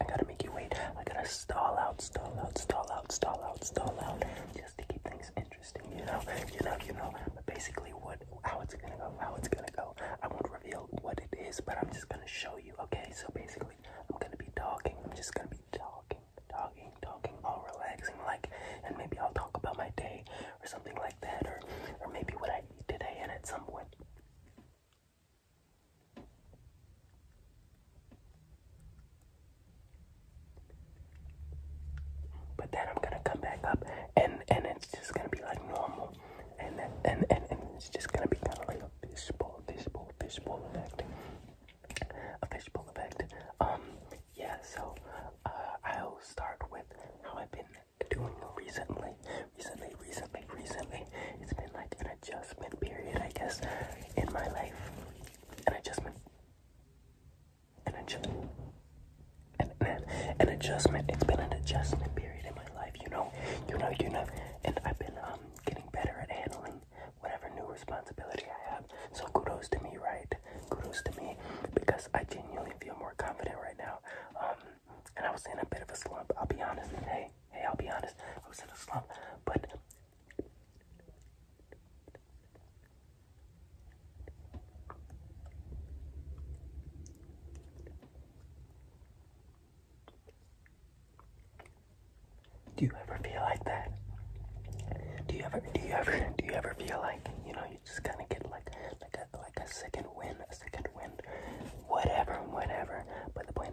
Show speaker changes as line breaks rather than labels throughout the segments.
I gotta make you wait. I gotta stall out, stall out, stall out, stall out, stall out, just to keep things interesting, you know, you know, you know. But basically, what, how it's gonna go, how it's gonna go. I won't reveal what it is, but I'm just gonna show you, okay? So basically, I'm gonna be talking. I'm just gonna be talking, talking, talking, all relaxing, like, and maybe I'll talk about my day or something like that, or, or maybe what I eat today, and at some point. But then I'm gonna come back up and and it's just gonna be like normal. And and, and and it's just gonna be kinda like a fishbowl, fishbowl, fishbowl effect. A fishbowl effect. Um yeah, so uh, I'll start with how I've been doing recently. Recently, recently, recently. It's been like an adjustment period, I guess, in my life an adjustment, an adjustment, an, adjustment. It's been an adjustment period in my life, you know, you know, you know, and I've been um getting better at handling whatever new responsibility I have. So kudos to me, right? Kudos to me because I genuinely feel more confident right now. Um, and I was in a bit of a slump. I'll be honest. Hey, hey, I'll be honest. I was in a slump, but do you ever feel like that? Do you ever, do you ever, do you ever feel like you know you just kind of get like like a like a second win, a second win, whatever, whatever. But the point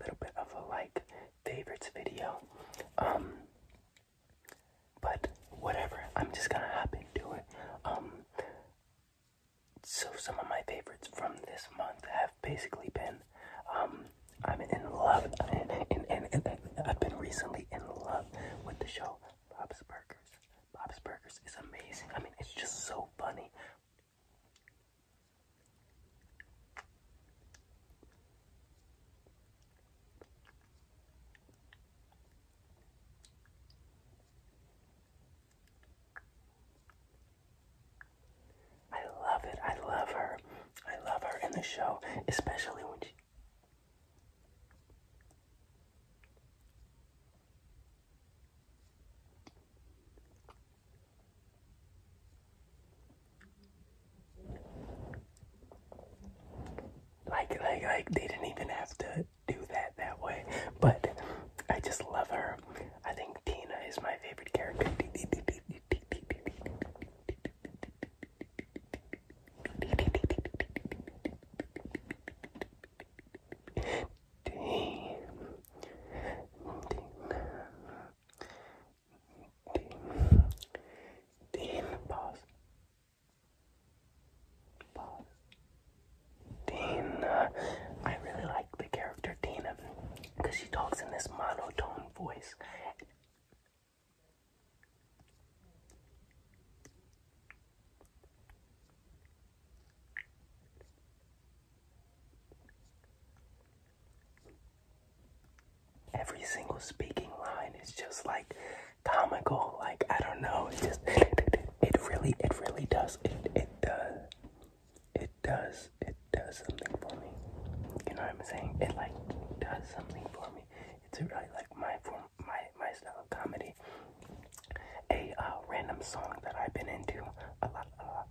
little bit of a like favorites video. Um, but whatever, I'm just gonna hop into it. Um, so some of my favorites from this month have basically been, um, I'm in love, and, and, and, and, I've been recently in love with the show Bob's Burgers. Bob's Burgers is amazing. I mean, it's just so funny. I love it. I love her. I love her in the show, especially when she. Like, like, like, they didn't even have to do that that way. But I just love her. I think Tina is my favorite character. Dean, Dean, pause, Dean, I really like the character Tina because she talks in this monotone voice. Every single speaking line is just like comical. Like I don't know. It just it really it really does it it does it does it does something for me. You know what I'm saying? It like does something for me. It's really like my form my my style of comedy. A uh, random song that I've been into a lot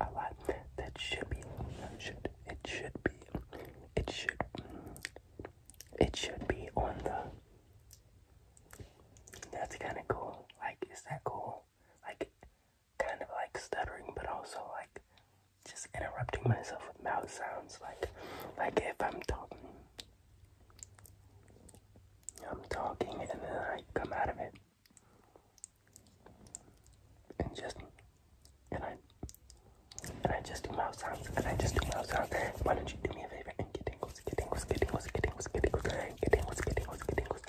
a lot that should be, should, it should be, it should, it should be on the, that's kind of cool, like, is that cool? Like, kind of like stuttering, but also like, just interrupting myself with mouth sounds, like, like if I'm talking, I'm talking and then I come out of it and just and I and I just do mouth sounds and I just do mouth sounds. Why don't you do me a favor and get tingles, get tingles, get tingles, get tingles, get tingles, get tingles, get tingles, get tingles.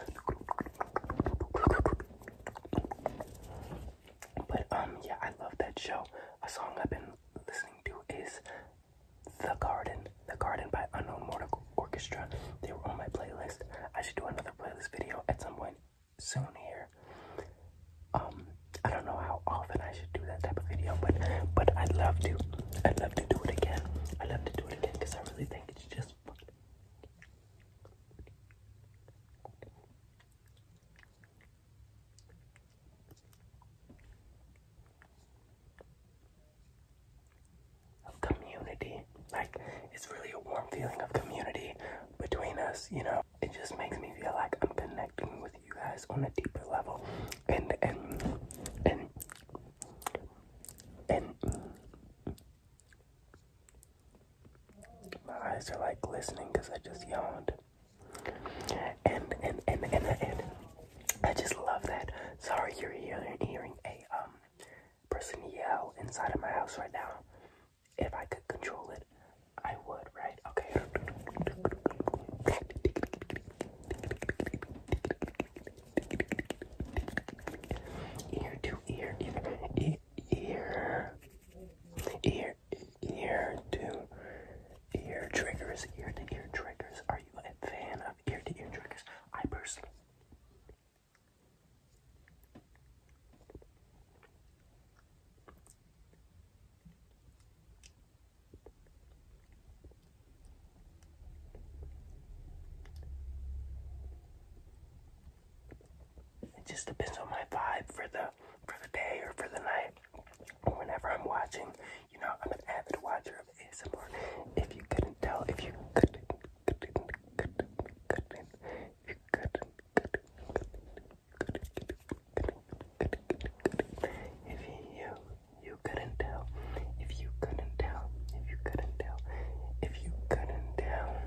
But um yeah, I love that show. A song I've been listening to is The Garden, The Garden by Unknown Mortal Orchestra. They were on my playlist. I should do another playlist video at some point soon here. Um, I don't know how often I should do that type of video, but but I'd love to. I'd love to do it again. i love to do it again because I really think it's just fun. community, like it's really a warm feeling of community, between us, you know. It just makes me feel like I'm connecting with you guys on a deeper level. And and and and my eyes are like glistening because I just yawned. And and and and and, and I just love that. Sorry, you're hearing hearing a um person yell inside of my house right now. If I could control it, I would, right? Okay. Ear to ear, ear, ear, ear, ear to ear triggers, ear to ear triggers. Are you a fan of ear to ear triggers? I personally it just depends on my vibe for the for the day or for the night. Whenever I'm watching, you know, I'm an avid watcher of ASMR. If you couldn't tell, if you couldn't, if you you couldn't tell, if you couldn't tell, if you couldn't tell, if you couldn't tell.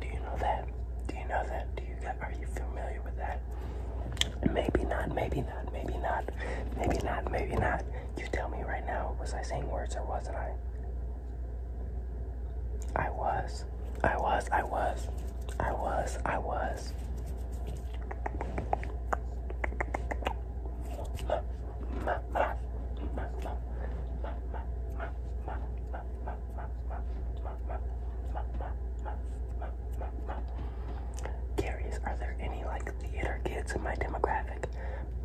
Do you know that? Do you know that? Do you are you familiar with that? Maybe not, maybe not, maybe not, maybe not, maybe not. You tell me right now, was I saying words or wasn't I? I was, I was, I was, I was, I was. Curious, are there any like theater kids in my demographic?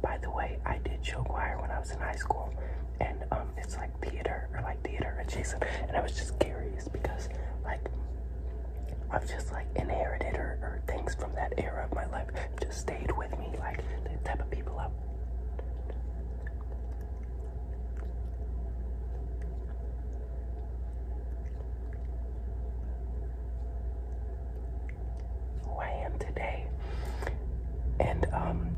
By the way, I did show choir when I was in high school, and um, it's like theater or like theater adjacent. And I was just curious because like I've just like inherited or, things from that era of my life just stayed with me, like the type of people I. Who I am today, and um,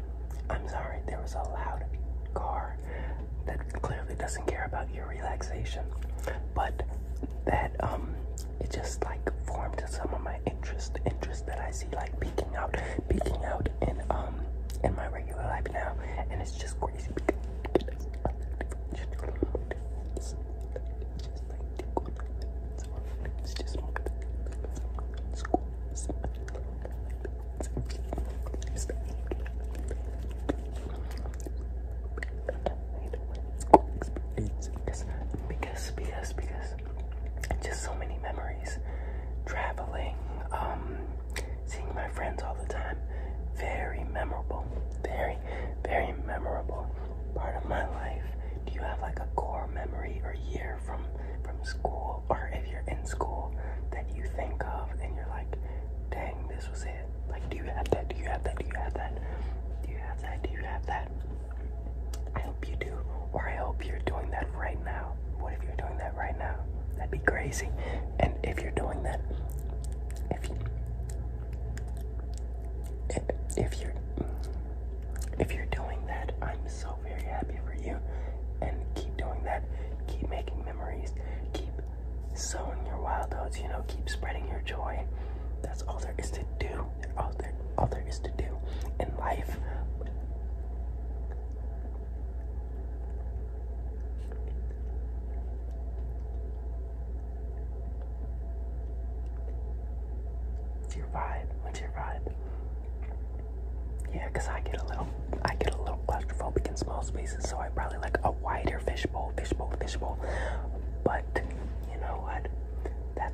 I'm sorry there was a loud car that clearly doesn't care about your relaxation, but that um, it just like formed some of my interest, interest that I see like peeking out, peeking out in um in my regular life now, and it's just crazy because, just so many memories. Traveling, um, seeing my friends all the time. Very memorable. Very, very memorable part of my life. Do you have like a core memory or year from from school or if you're in school that you think of and you're like, dang, this was it? Like do you have that? Do you have that? Do you have that? Do you have that? Do you have that? I hope you do, or I hope you're doing that right now. What if you're doing that right now? That'd be crazy. And if you're doing that, if you, if you're if you're doing that, I'm so very happy for you. And keep doing that. Keep making memories. Keep sowing your wild oats. You know, keep spreading your joy. That's all there is to do all there all there is to do in life. It's your vibe. What's your vibe? Yeah, I get a little, I get a little claustrophobic in small spaces, so I probably like a wider fishbowl, fishbowl, fishbowl. But you know what? That's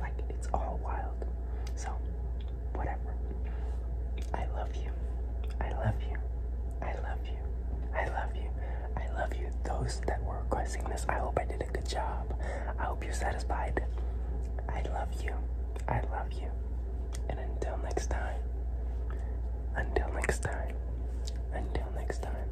like it's all wild. So whatever. I love you. I love you. I love you. I love you. I love you. Those that were requesting this, I hope I did a good job. I hope you're satisfied. I love you. I love you. And until next time. Until next time. Until next time.